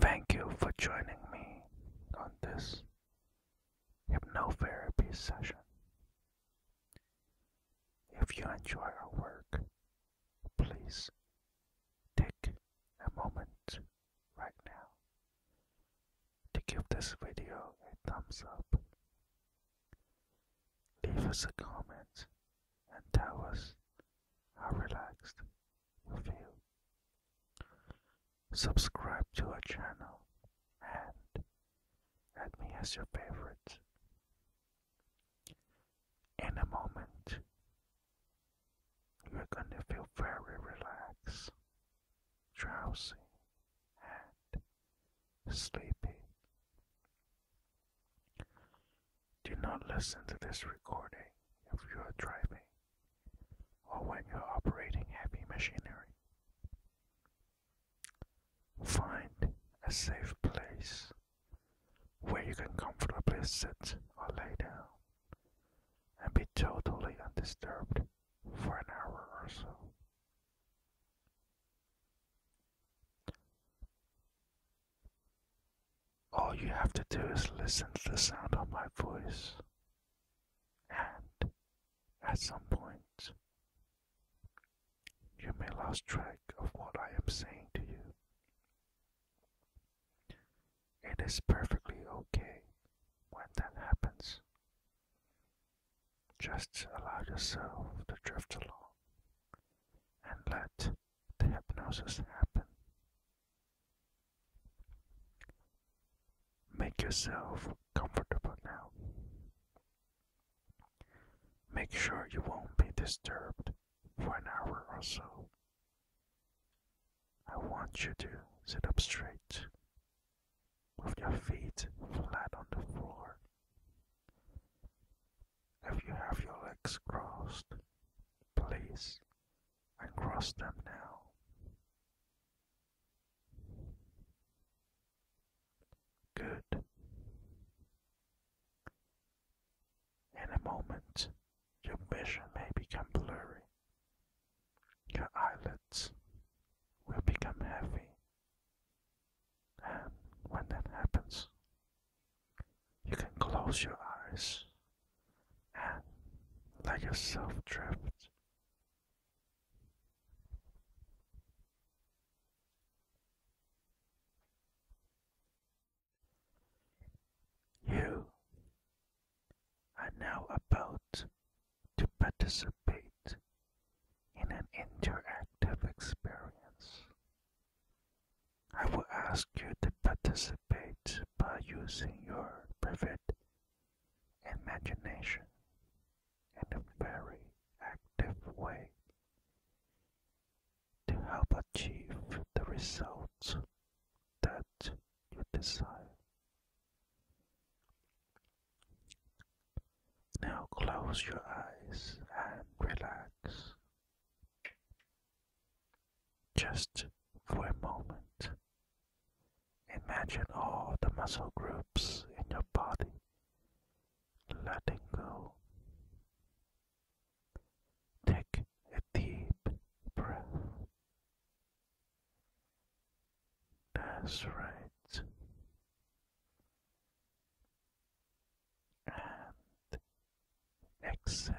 Thank you for joining me on this hypnotherapy session. If you enjoy our work, please take a moment right now to give this video a thumbs up. Leave us a comment and tell us how relaxed you feel. Subscribe to our channel and add me as your favorite. In a moment, you're going to feel very relaxed, drowsy, and sleepy. Do not listen to this recording if you are driving or when you are operating heavy machinery. Find a safe place where you can comfortably sit or lay down and be totally undisturbed for an hour or so. All you have to do is listen to the sound of my voice, and at some point, you may lose track of what I am saying to you. It is perfectly okay when that happens. Just allow yourself to drift along and let the hypnosis happen. Make yourself comfortable now. Make sure you won't be disturbed for an hour or so. I want you to sit up straight with your feet flat on the floor. If you have your legs crossed, please uncross them now. Good. In a moment, your vision may become blurry. Your eyelids will become heavy. And when that happens, you can close your eyes and let yourself drift. You are now about to participate in an interactive experience I will ask you to participate by using your vivid imagination in a very active way to help achieve the results that you desire. Now close your eyes and relax. Just for a moment, imagine all the muscle groups in your body letting go. Take a deep breath. That's right and exhale.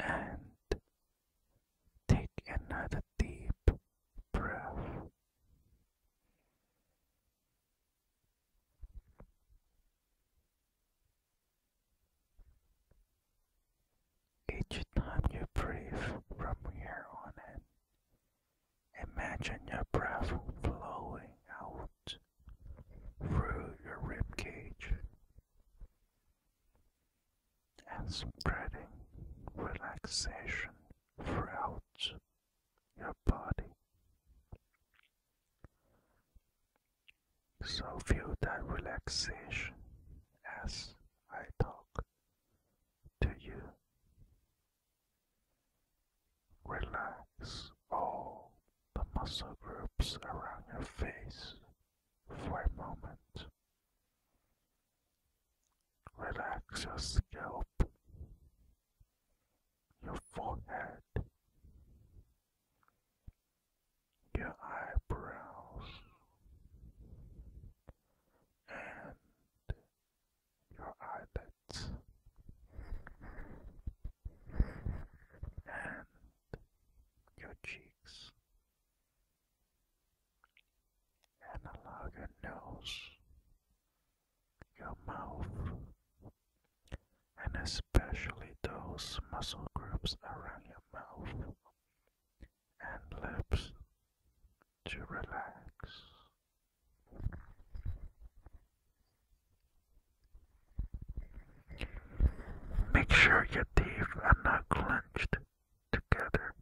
And take another deep breath. Each time you breathe from here on in, Imagine your breath flowing out through your rib cage and spreading relaxation throughout your body. So feel that relaxation as I talk to you. Relax all the muscle groups around your face for a moment. Relax your scalp, your forehead, your eyebrows, and your eyelids and your cheeks and allow your nose, your mouth, and especially those muscle groups around your mouth and lips to relax. Make sure your teeth are not clenched together.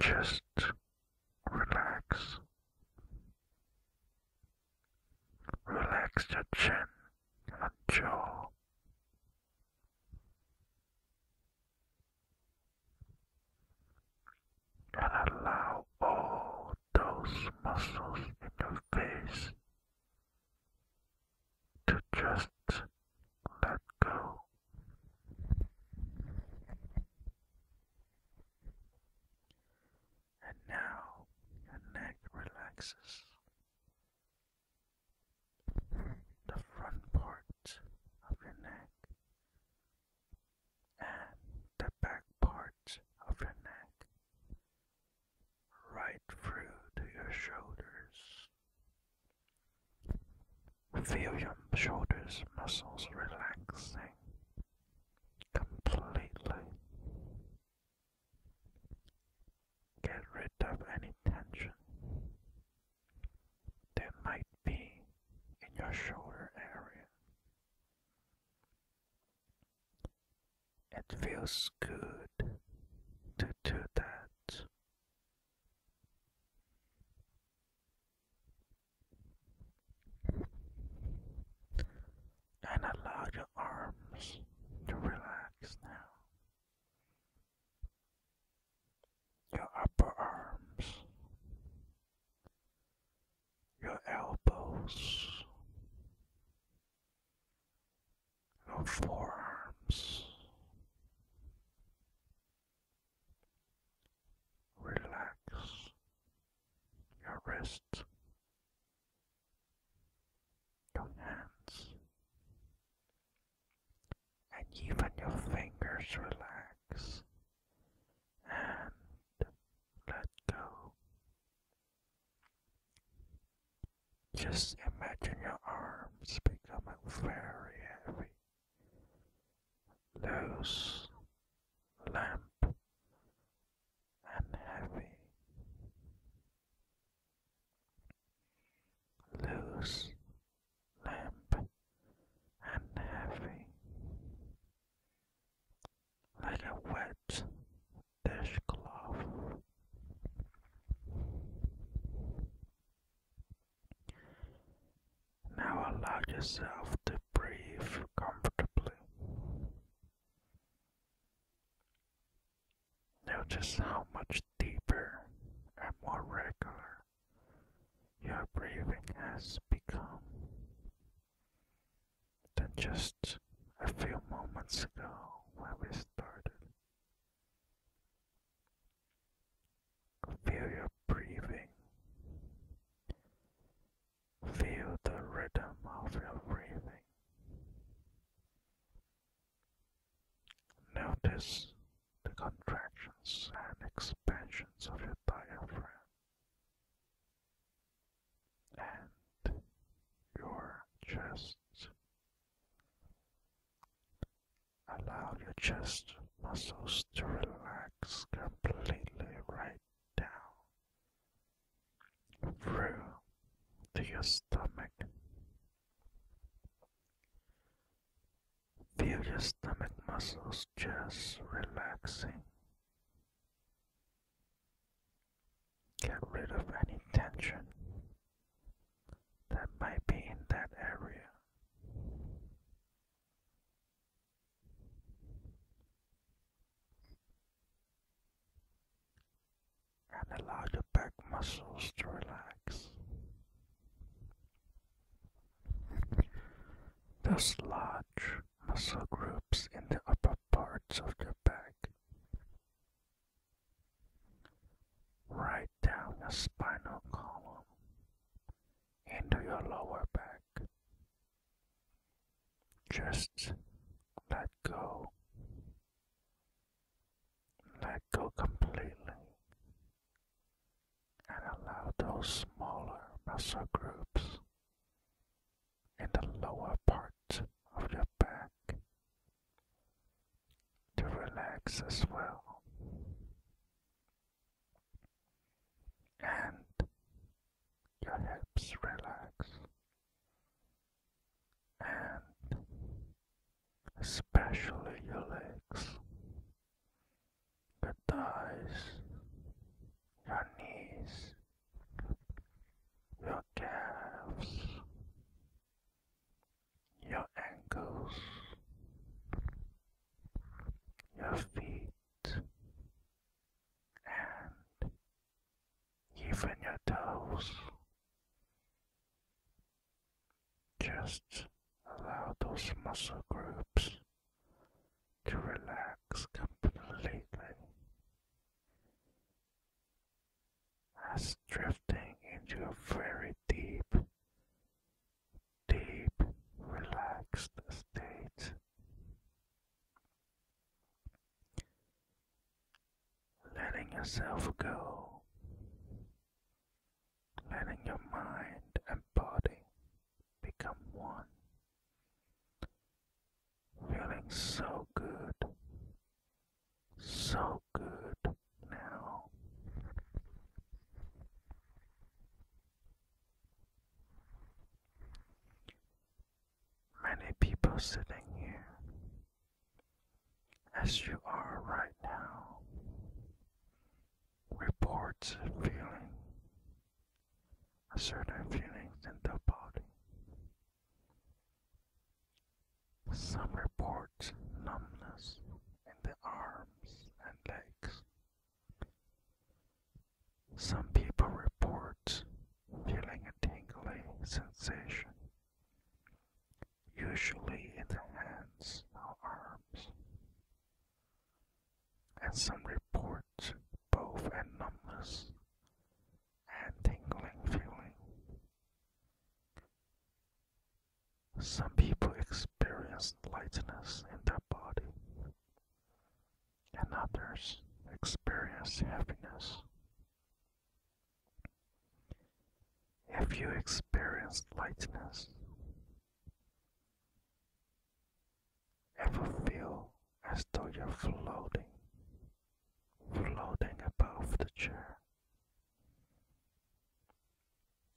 Just relax. Relax your chin and jaw and allow all those muscles in your face to just let go. And now your neck relaxes the front part of your neck and the back part of your neck right through to your shoulders. Feel your shoulders muscles relaxing completely. Get rid of any tension that might be in your shoulder area. It feels good to do that. And allow your arms to relax now your upper arms, your elbows, your forearms. Relax your wrists, your hands, and even your fingers relax and let go. Just imagine your arms becoming very heavy, loose, limp, and heavy. Loose limp and heavy, like a wet dishcloth. Now allow yourself to breathe comfortably. Notice how much deeper and more regular your breathing has become than just a few moments ago when we started. Feel your breathing. Feel the rhythm of your breathing. Notice the contractions and expansions of your diaphragm and your chest. Allow your chest muscles to relax completely right down through to your stomach. Feel your stomach muscles just relaxing. Get rid of any tension that might be in that area. And allow your back muscles to relax. Those large muscle groups in the upper parts of your back. Right down the spinal column into your lower back. Just let go. Let go completely and allow those smaller muscle groups in the lower part of your back to relax as well. And your hips relax, and especially your legs your thighs, your knees, your calves, your ankles, your feet, and even your toes. Just allow those muscle groups to relax completely. As drifting into a very deep, deep, relaxed state. Letting yourself go letting your mind and body become one. Feeling so good, so good now. Many people sitting here as you are right now reports feeling a certain feelings in the body. Some report numbness in the arms and legs. Some people report feeling a tingling sensation, usually in the hands or arms and some report both a numbness and tingling feeling. Some people experience lightness in their body, and others experience happiness. Have you experienced lightness, Ever feel as though you're floating, floating above the chair?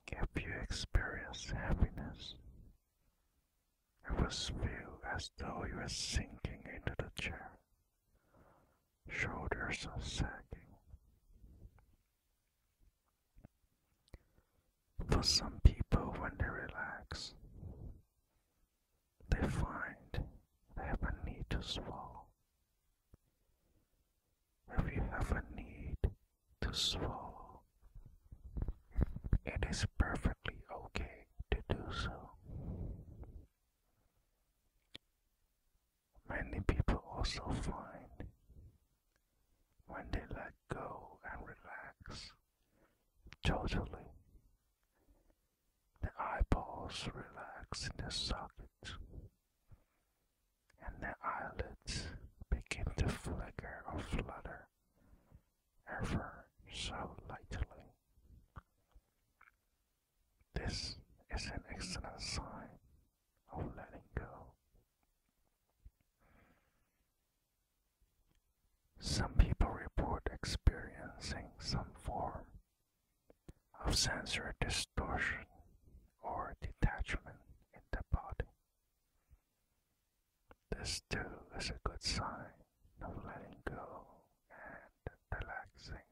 If you experience happiness, it will feel as though you are sinking into the chair. Shoulders sagging. For some people, when they relax, they find they have a need to swallow. If you have a need to swallow, it is perfectly okay to do so. Many people also find when they let go and relax totally. The eyeballs relax in the socket, and the eyelids begin to flicker or flutter ever so lightly. This is an excellent sign of letting go. Some people report experiencing some form of sensory distortion or detachment in the body. This too is a good sign of letting go and relaxing.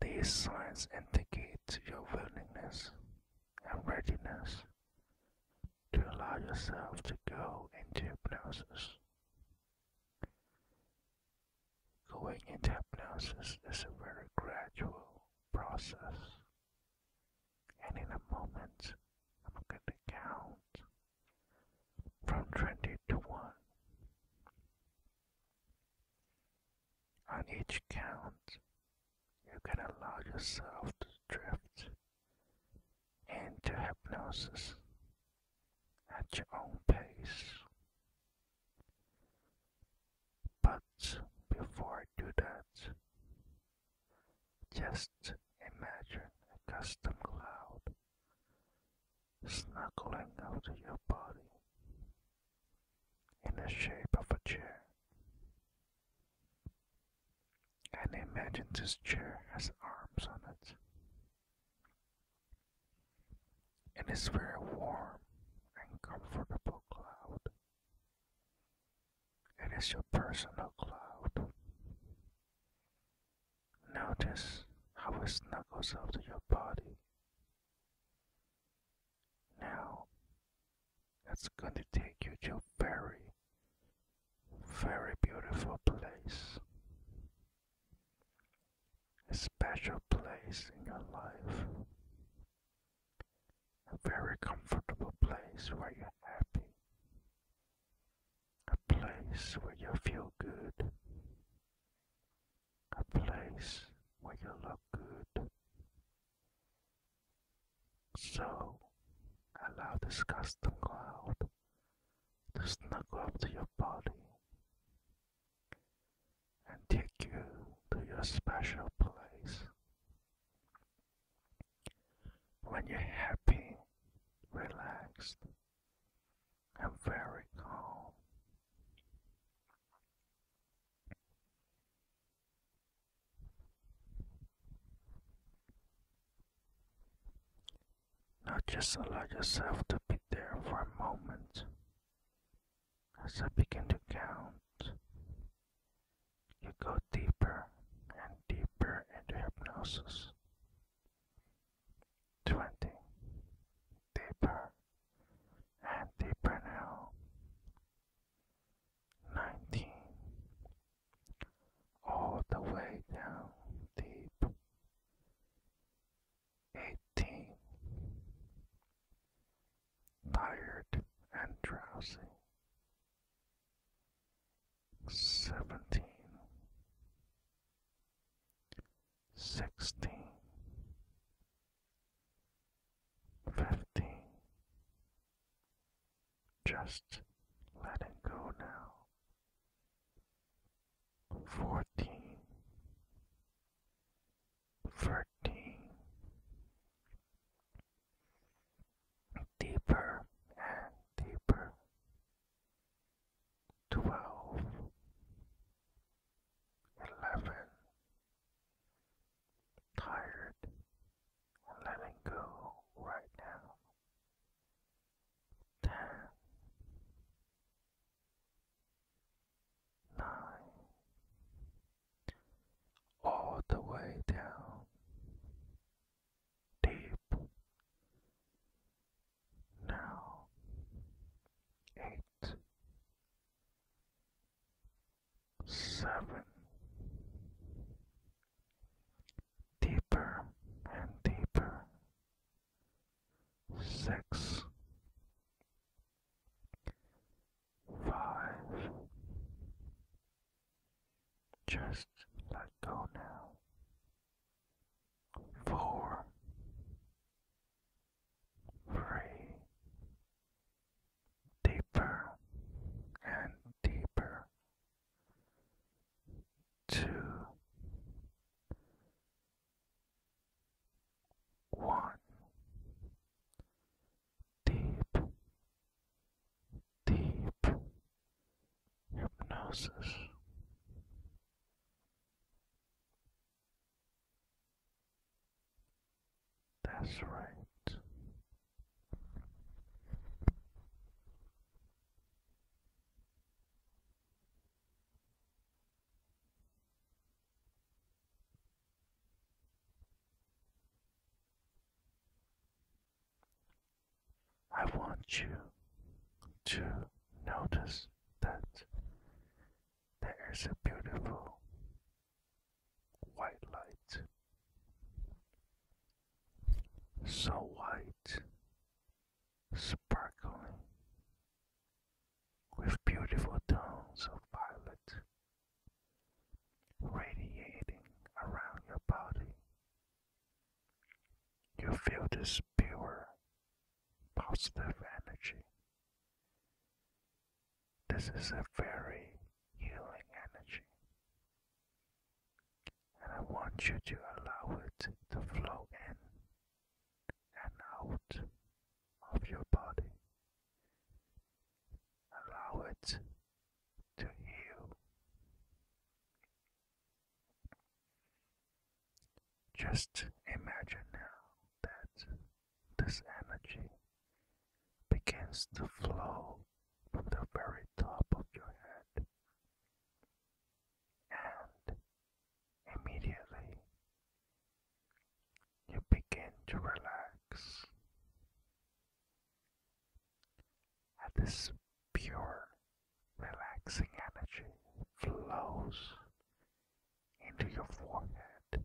These signs indicate your willingness and readiness to allow yourself to go into hypnosis. Going into hypnosis is a very gradual process, and in a moment, I'm going to count from 20 to 1. On each count, you can allow yourself to drift into hypnosis at your own pace. But before I do that, just imagine a custom cloud snuggling out of your body in the shape of a chair. And imagine this chair has arms on it. and It is very warm and comfortable cloud. It is your personal cloud. Notice how it snuggles up to your body. Now, that's going to take you to a very, very beautiful place. A special place in your life. A very comfortable place where you're happy. A place where you feel good. A place where you look good. So I'll allow this custom cloud to snuggle up to your body and take you to your special place. When you're happy, relaxed, and very calm, just allow yourself to be there for a moment. As I begin to count, you go deeper and deeper into hypnosis. 20. Deeper and deeper now nineteen, all the way down deep, eighteen, tired and drowsy, seventeen fifteen. Just let it go now. Fourteen, thirteen. Deeper and deeper. Twelve, eleven, tired letting go right now. Ten, nine, all the way down, deep. Now, eight, seven, deeper and deeper, six, five, just let go now, four, free, deeper and deeper to one deep, deep hypnosis. That's right. I want you to notice that there is a beautiful white light. So white, sparkling, with beautiful tones of violet radiating around your body. You feel this pure, positive energy this is a very healing energy, and I want you to allow it to flow in and out of your body. Allow it to heal. Just imagine now that this energy begins to flow from the very top of your head and immediately you begin to relax and this pure relaxing energy flows into your forehead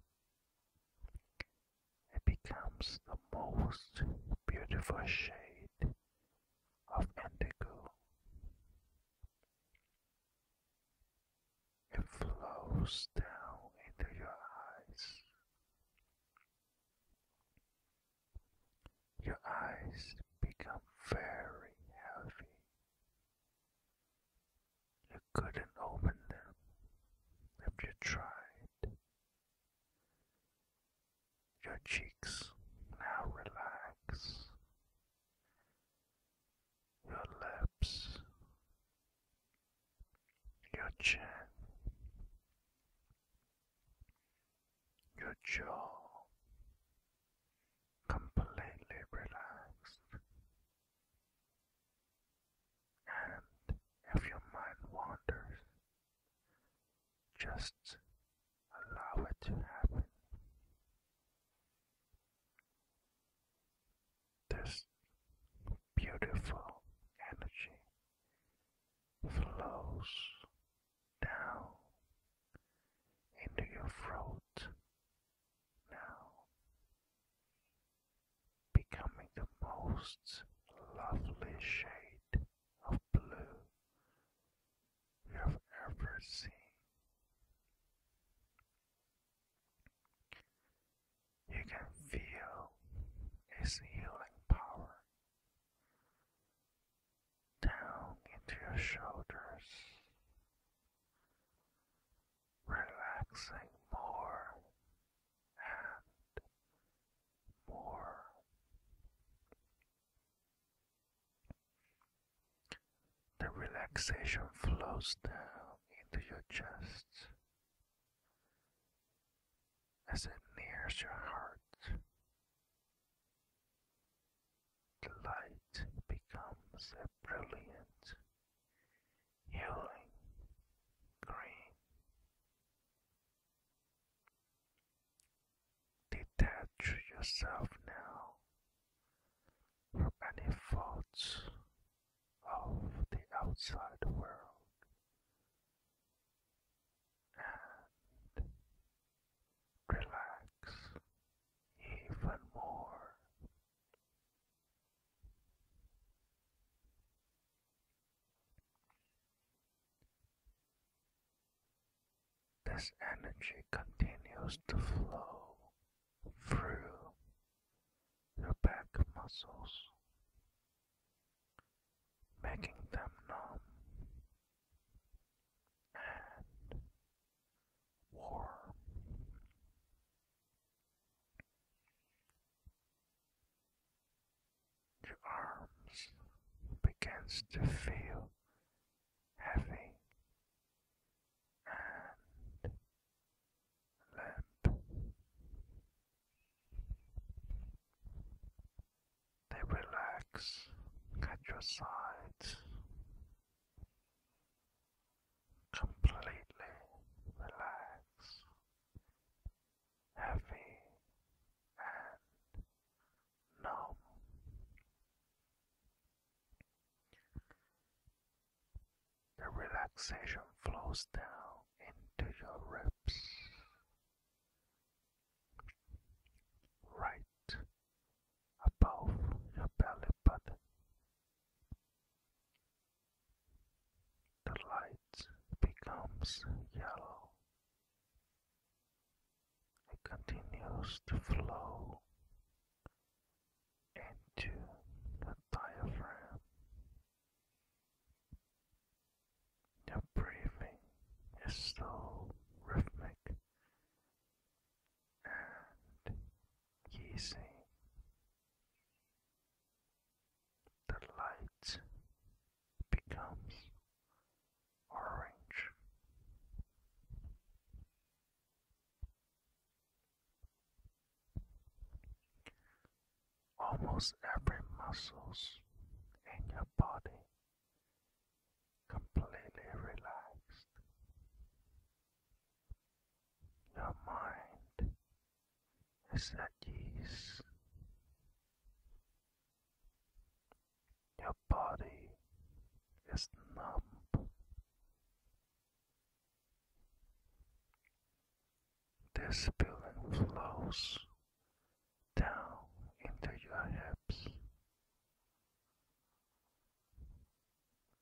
it becomes the most beautiful shade of indigo. It flows down into your eyes. Your eyes become very heavy. You couldn't open them if you tried. Your cheeks now relax. Your lips, your chin, your jaw completely relaxed. And if your mind wanders, just allow it to happen. This beautiful energy flows down into your throat now becoming the most lovely shade of blue you have ever seen. You can feel its healing power down into your shoulders, relaxing more and more. The relaxation flows down into your chest as it nears your heart. The light becomes a brilliant healing cream. Detach yourself now from any thoughts of the outside world and relax even more. This energy continues to flow through your back muscles, making them numb and warm. Your arms begins to feel heavy and limp. They relax at your sides. Completely relax heavy and numb. The relaxation flows down into your ribs, right above your belly button. The light becomes yellow. It continues to flow into the diaphragm. Your breathing is so rhythmic and easy the light becomes orange. Almost every muscles in your body completely relaxed. Your mind is that ease. Your body is numb. This feeling flows down into your hips.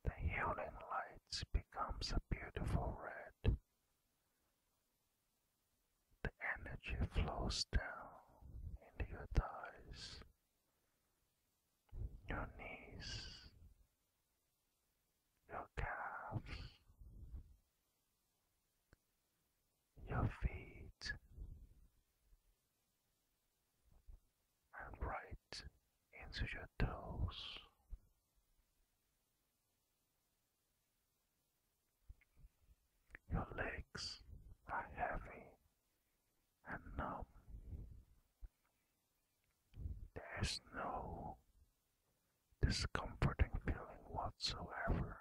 The healing lights becomes a beautiful red the energy flows down into your thighs, your knees, your calves, your feet, and right into your toes. Your legs are heavy and numb. There's no discomforting feeling whatsoever.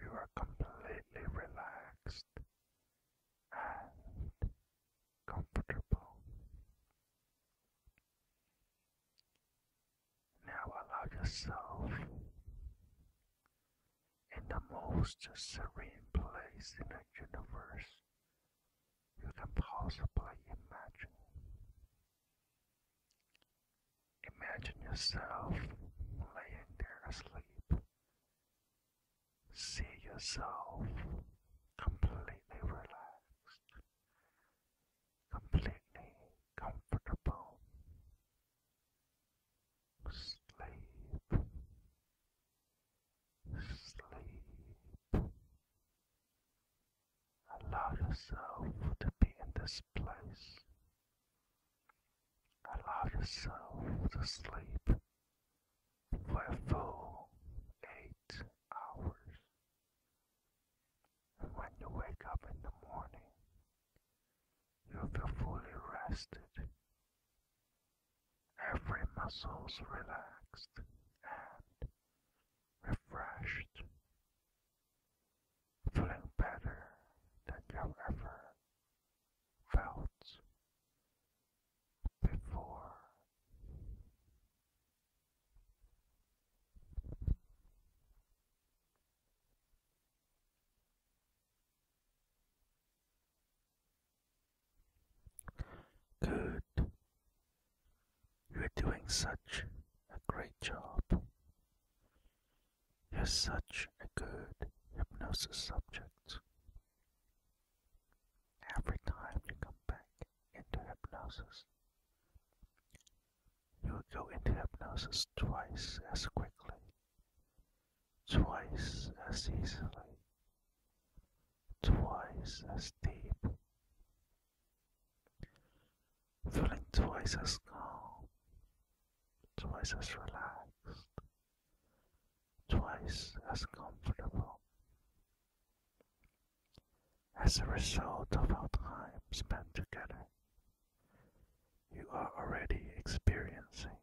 You are completely relaxed and comfortable. Now allow yourself in the most serene place in the universe you can possibly imagine. Imagine yourself laying there asleep. See yourself completely relaxed completely comfortable sleep, sleep. Allow yourself to be in this place. Allow yourself to sleep for full eight hours. And when you wake up in the morning, you feel fully rested. Every muscle's relaxed and refreshed, feeling better than you've ever felt before. Good. You're doing such a great job. You're such a good hypnosis subject. Every time you come back into hypnosis, you would go into hypnosis twice as quickly, twice as easily, twice as deep, feeling twice as calm, twice as relaxed, twice as comfortable as a result of our time spent together. You are already experiencing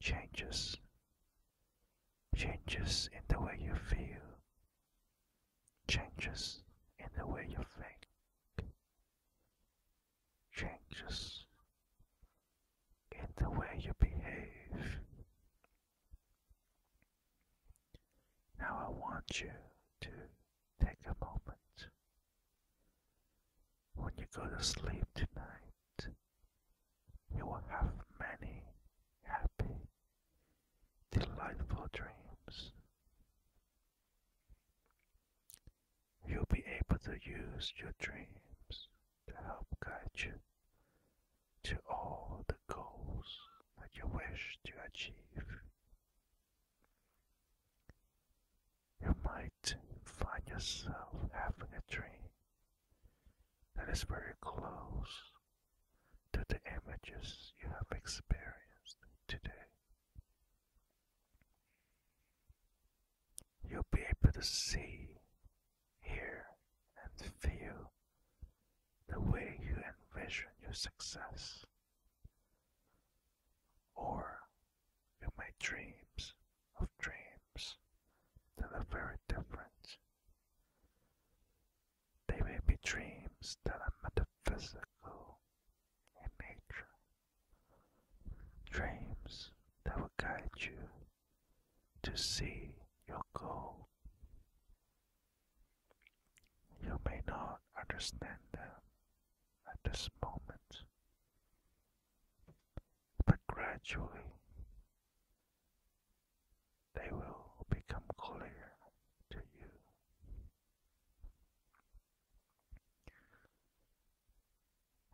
changes, changes in the way you feel, changes in the way you think, changes in the way you behave now I want you to take a moment when you go to sleep tonight. You will have many happy, delightful dreams. You'll be able to use your dreams to help guide you to all the goals that you wish to achieve. You might find yourself having a dream that is very close to the images you have experienced today. You'll be able to see, hear, and feel the way you envision your success, or you make dreams of dreams that are very different. They may be dreams that are metaphysical in nature, dreams that will guide you to see your goal. You may not understand them at this moment, but gradually they will become clear to you.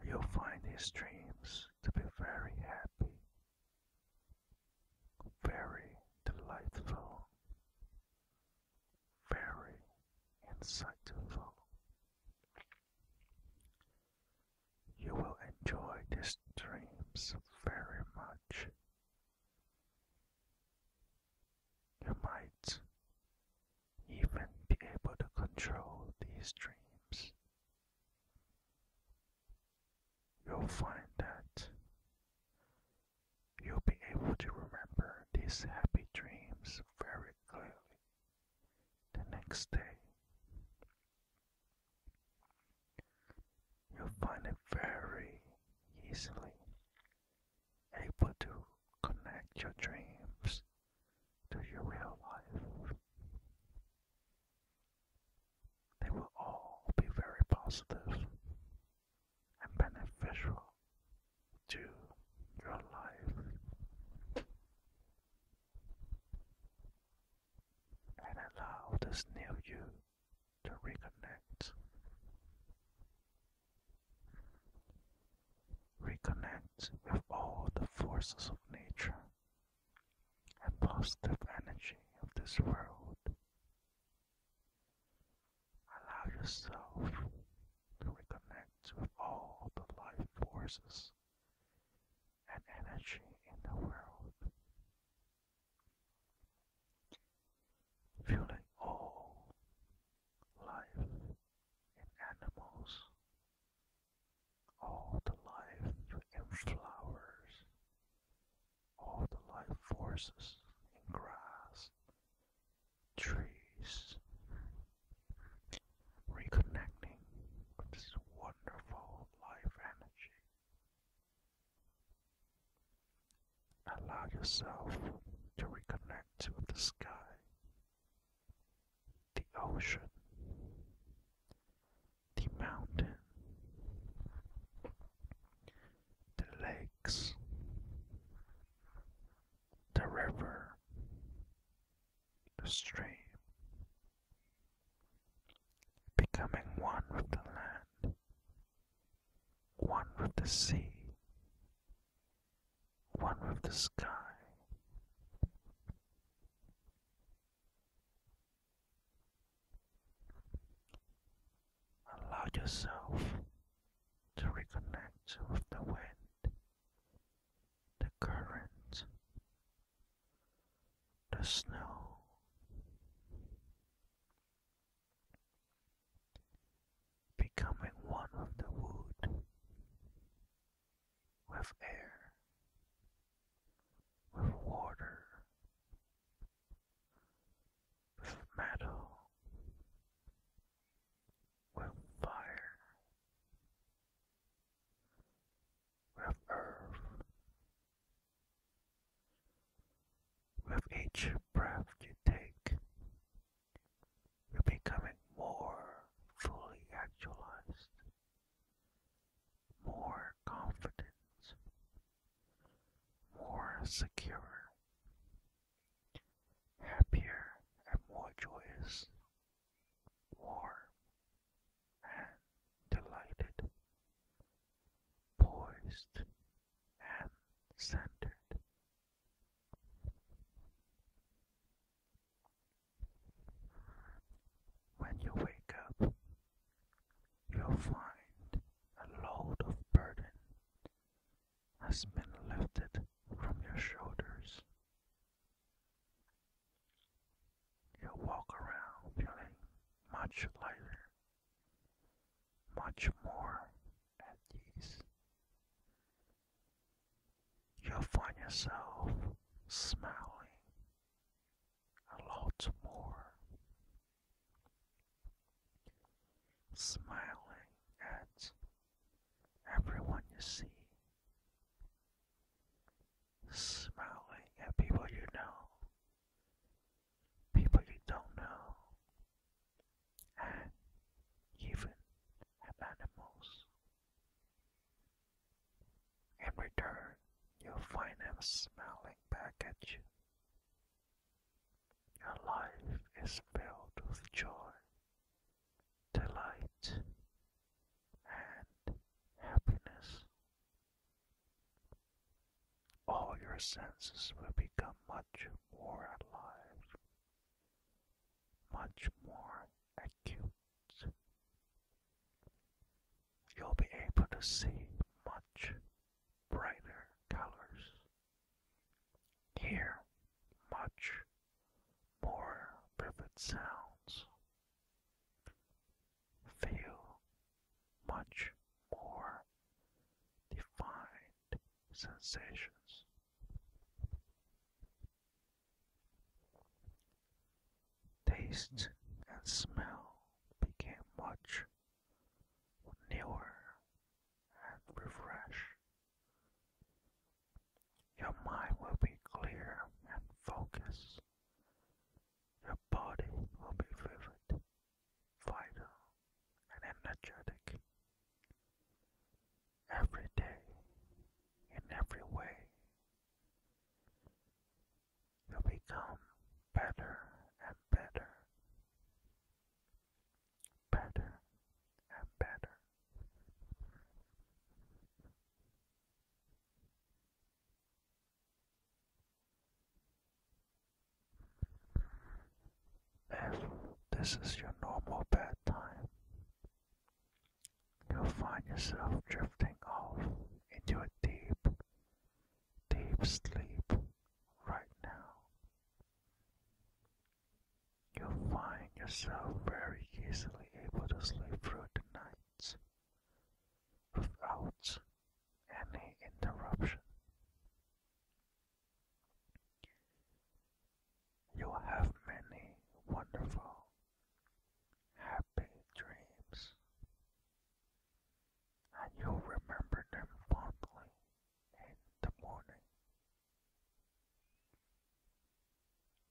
You'll find these dreams to be very happy, very delightful, very insightful. You will enjoy these dreams very much. You might even be able to control these dreams. You'll find that You'll be able to remember these happy dreams very clearly the next day. You'll find it very easily able to connect your dreams to your real life. They will all be very positive and beneficial to your life. And allow this new you to reconnect. Reconnect with all the forces of nature and positive energy of this world Allow yourself to reconnect with all the life forces and energy in the world. Feeling all life in animals, all the life in flowers, all the life forces in grass, trees, reconnecting with this wonderful life energy. Allow yourself to reconnect with the sky, the ocean, the mountain, the lakes, the river, the stream, becoming one with the land, one with the sea, one with the sky. Allow yourself to reconnect with the wind, the current, the snow. Becoming one with the wood, with air, with water, with metal, with fire, with earth. With each breath you take, you're becoming more fully actualized, more confident, more secure, happier and more joyous, warm and delighted, poised and centered. When you wake up, you'll find a load of burden has been lifted from your shoulders. You walk around feeling much lighter, much more at ease. You'll find yourself smiling a lot more smiling at everyone you see, smiling at people you know, people you don't know, and even at animals. In return, you'll find them smiling back at you. Your life is filled with joy, delight, and happiness. All your senses will become much more alive, much more acute. You'll be able to see much brighter colors Hear much more vivid sounds. Feel much more defined sensations. Taste and smell became much newer and refresh. Your mind will be clear and focused. Your body will be vivid, vital, and energetic. Every day, in every way, you become better and better better and better. If this is your normal bedtime, you'll find yourself drifting off into a deep, deep sleep right now. You'll find yourself very easily able to sleep through the nights without any interruption. You'll have many wonderful, happy dreams, and you'll remember them fondly in the morning.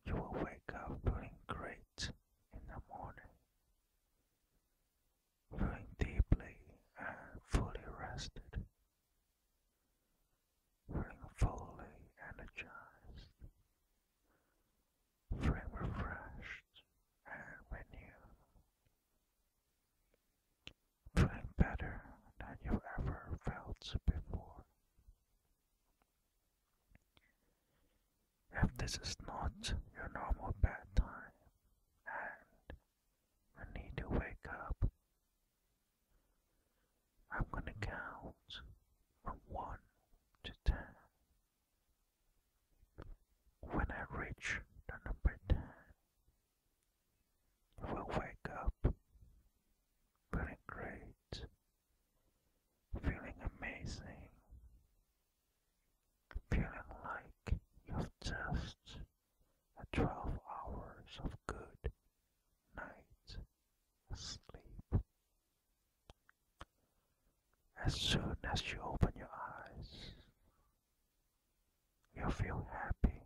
You will wake up feeling great in the morning, feeling deeply and fully rested, feeling fully energized, feeling refreshed and renewed. Feel better than you ever felt before. If this is not your normal bedtime and you need to wake up, I'm gonna count from 1 to 10. When I reach the number 10, will wake up feeling great, feeling amazing, feeling like you've just had 12 hours of good night sleep. As soon as you open your eyes, you feel happy,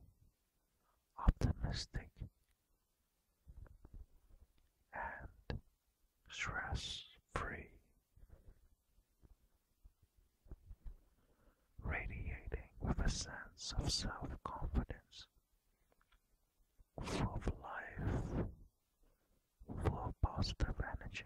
optimistic, and stress free, radiating with a sense of self confidence, full of life, full of positive energy.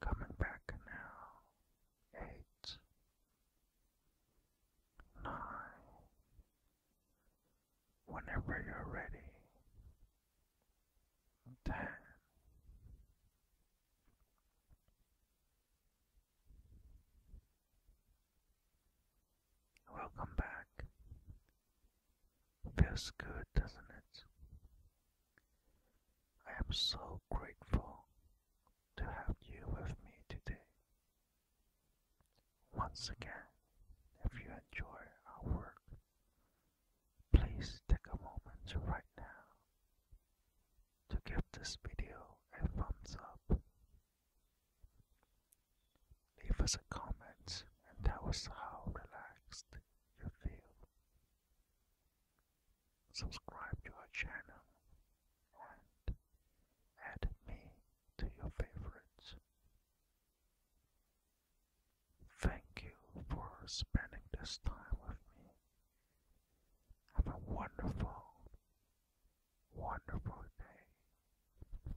Coming back now. Eight. Nine. Whenever you're ready. Ten. Welcome back. Feels good, doesn't it? I am so grateful to have you with me today. Once again, if you enjoy our work, please take a moment right now to give this video a thumbs up. Leave us a comment and tell us how relaxed you feel subscribe to our channel, and add me to your favorites. Thank you for spending this time with me. Have a wonderful, wonderful day.